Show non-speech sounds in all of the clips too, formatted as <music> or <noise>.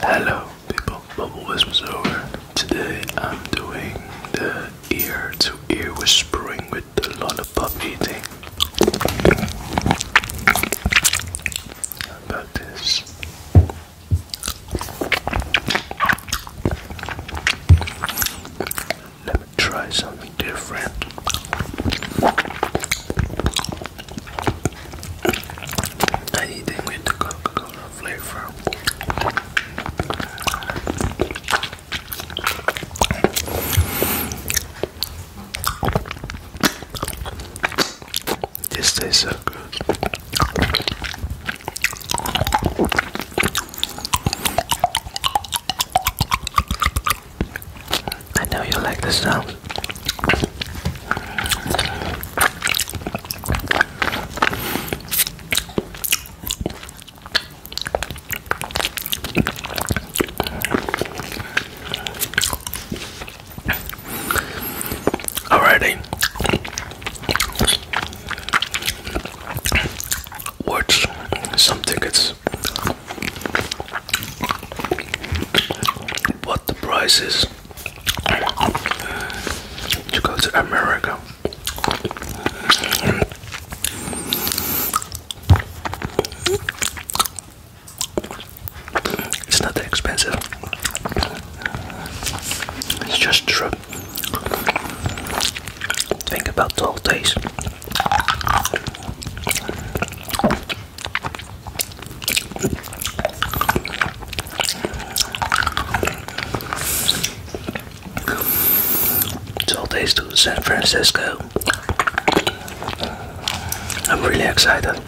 Hello people, Bubble Whispers over. Today I'm doing the ear to ear whispering with a lollipop eating. How about this? Let me try something different. I Anything with the Coca-Cola flavor. This tastes so good. I know you like the sound. Alrighty. What's something it's what the price is to go to America. It's not that expensive. It's just true. Think about 12 days. So days to San Francisco. I'm really excited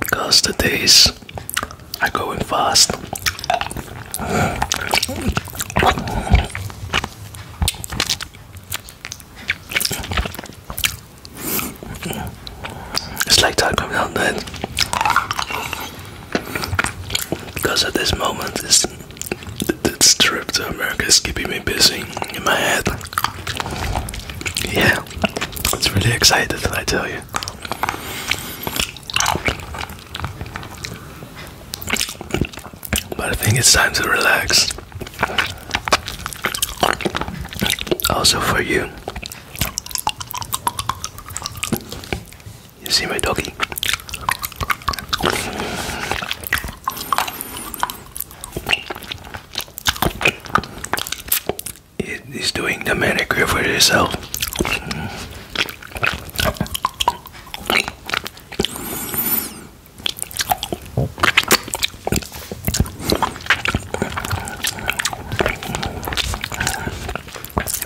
because the days are going fast. It's like talking coming out then. Because at this moment, this trip to America is keeping me busy in my head. Yeah, it's really excited, I tell you. But I think it's time to relax. Also for you. You see my doggy? He's doing the manicure for himself.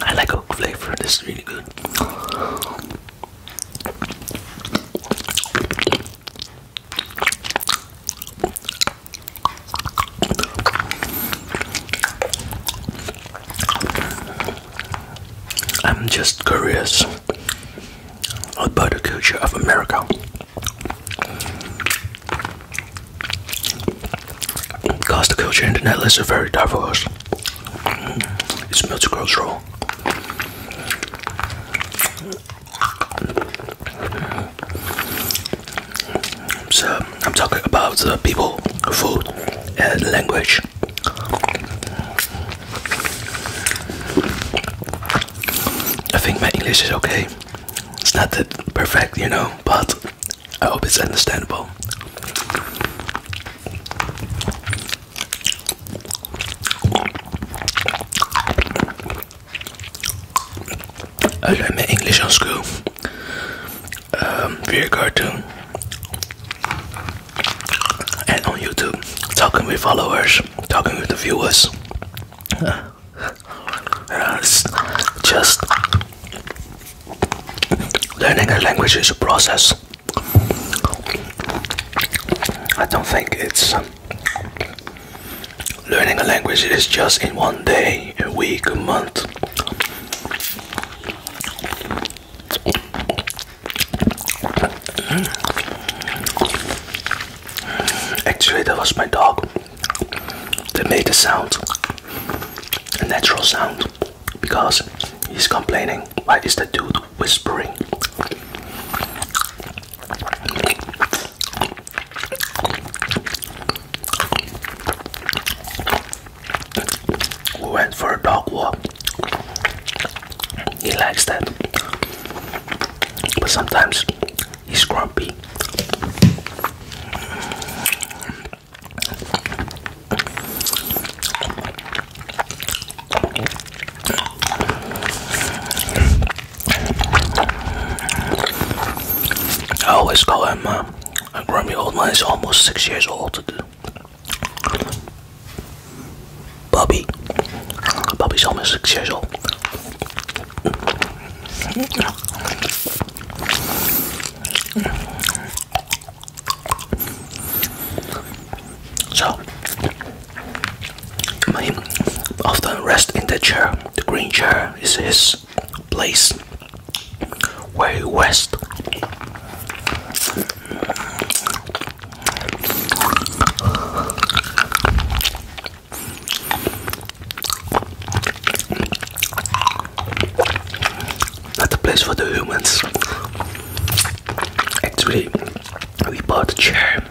I like oak flavor, this really good. I'm just curious about the culture of America. Because the culture and the Netherlands are very diverse. It's multicultural. So I'm talking about people, food, and language. I think my English is okay. It's not that perfect, you know, but I hope it's understandable. I learned my English on school um, via cartoon and on YouTube, talking with followers, talking with the viewers. <laughs> Uh, just learning a language is a process. I don't think it's um, learning a language is just in one day, a week, a month. Actually, that was my dog. They made a sound, a natural sound, because he's complaining. Why is the dude whispering? We went for a dog walk. He likes that. But sometimes He's grumpy. I always call him My uh, grumpy old man. He's almost six years old. Bubby. Bubby's almost six years old. So, he often rests in the chair. The green chair is his place where he rests. Not a place for the humans. Actually, we bought a chair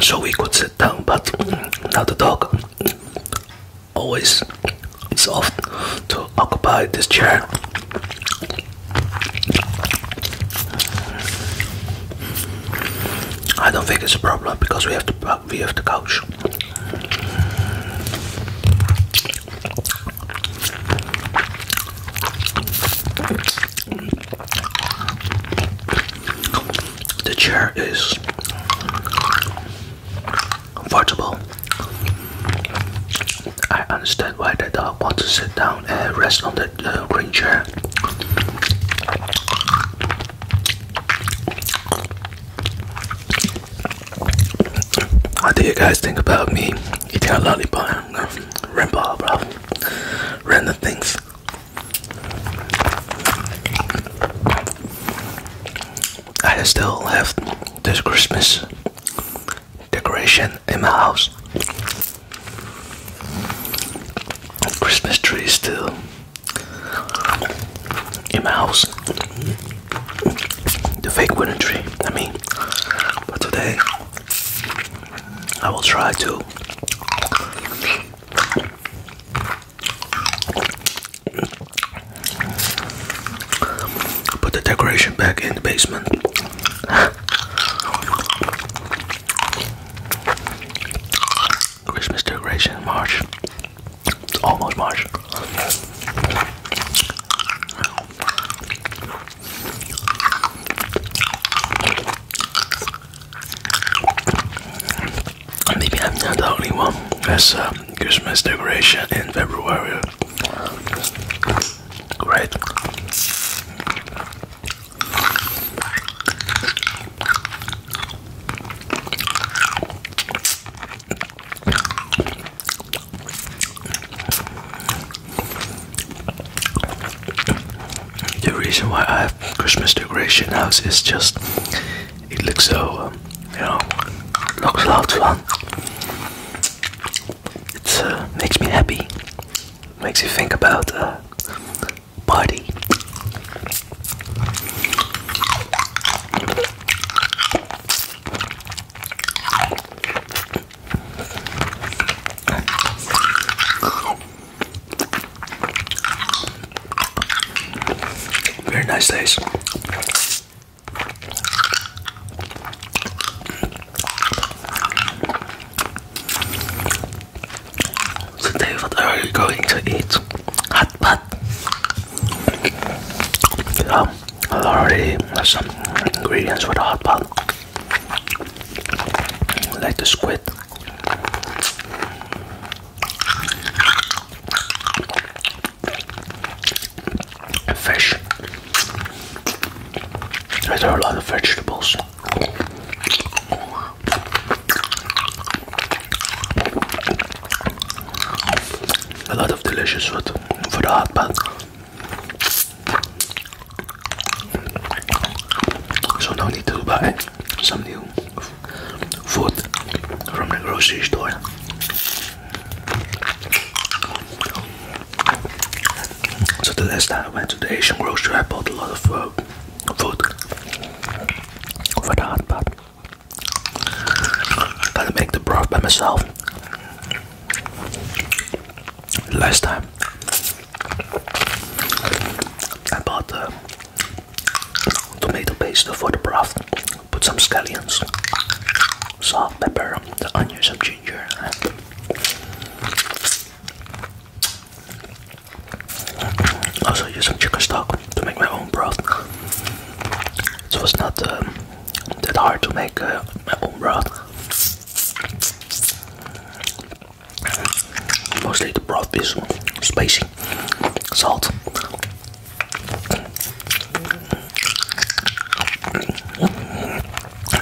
so we could sit down, but now the dog always is off to occupy this chair. I don't think it's a problem because we have the uh, we have the couch. The chair is comfortable. I understand why the dog wants to sit down and rest on the uh, green chair. What do you guys think about me eating a lollipop uh, rainbow, bro? Random things. I still have this Christmas decoration in my house. Christmas tree still in my house. The fake wooden tree, I mean. But today, I will try to put the decoration back in the basement. Christmas decoration March. It's almost March. Maybe I'm the only one that's uh, Christmas decoration in February. Great. The reason why I have Christmas decoration house is just it looks so um, you know looks loved one. It uh, makes me happy, makes you think about uh, buddy. Very nice taste. Today, what are you going to eat? Hot pot. I already have some ingredients for the hot pot, like the squid. Fish. There are a lot of vegetables. A lot of delicious food for the hot pot. So no need to buy some new food from the grocery store. So the last time I went to the Asian grocery, I bought a lot of food. Uh, food for the hot I'm gonna make the broth by myself. Last time I bought the uh, tomato paste for the broth. Put some scallions, salt, pepper, the onions, and ginger. Also use some chicken stock to make my own broth. So it's not um, that hard to make uh, my own broth. Mostly the broth is spicy, salt.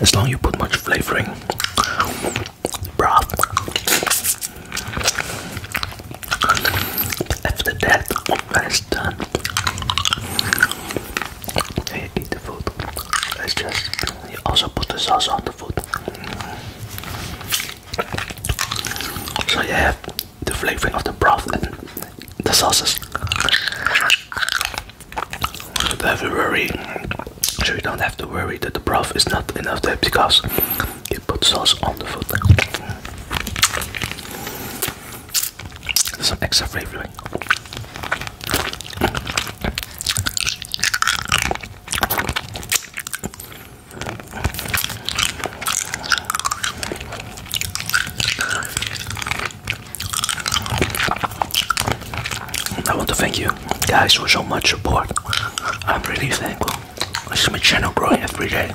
As long as you put much flavoring, broth. After that, when it's done, you eat the food. It's just you also put the sauce on the food, so you have the flavoring of the broth and the sauces. So you don't have to worry. So you don't have to worry that the broth is not enough there because you put sauce on the foot. There's an extra flavoring. I want to thank you guys for so much support. I'm really thankful. This is my channel growing every day.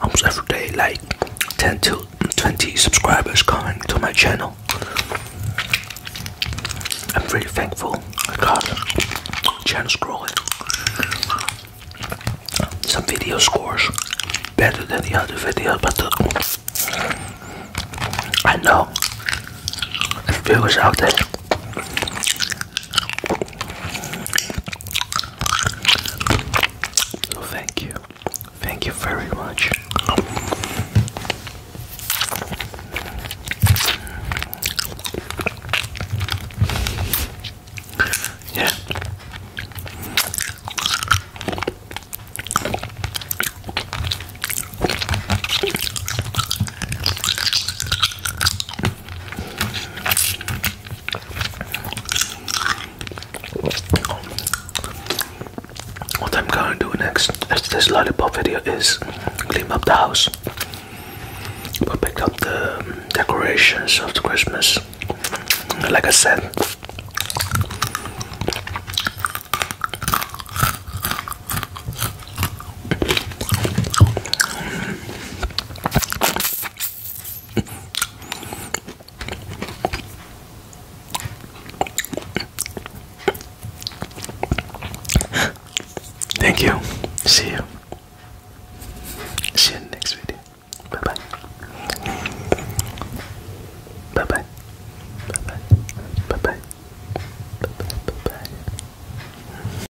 Almost every day, like 10 to 20 subscribers coming to my channel. I'm really thankful. God, channel's growing. Some video scores better than the other videos, but uh, I know if viewers out there so oh, thank you. Thank you very much. Yeah. What I'm gonna do next after this lollipop video is clean up the house. pick up the um, decorations of the Christmas. Like I said, Thank you. See you. See you in the next video. Bye bye. Bye bye. Bye bye. Bye bye. Bye bye. Bye bye.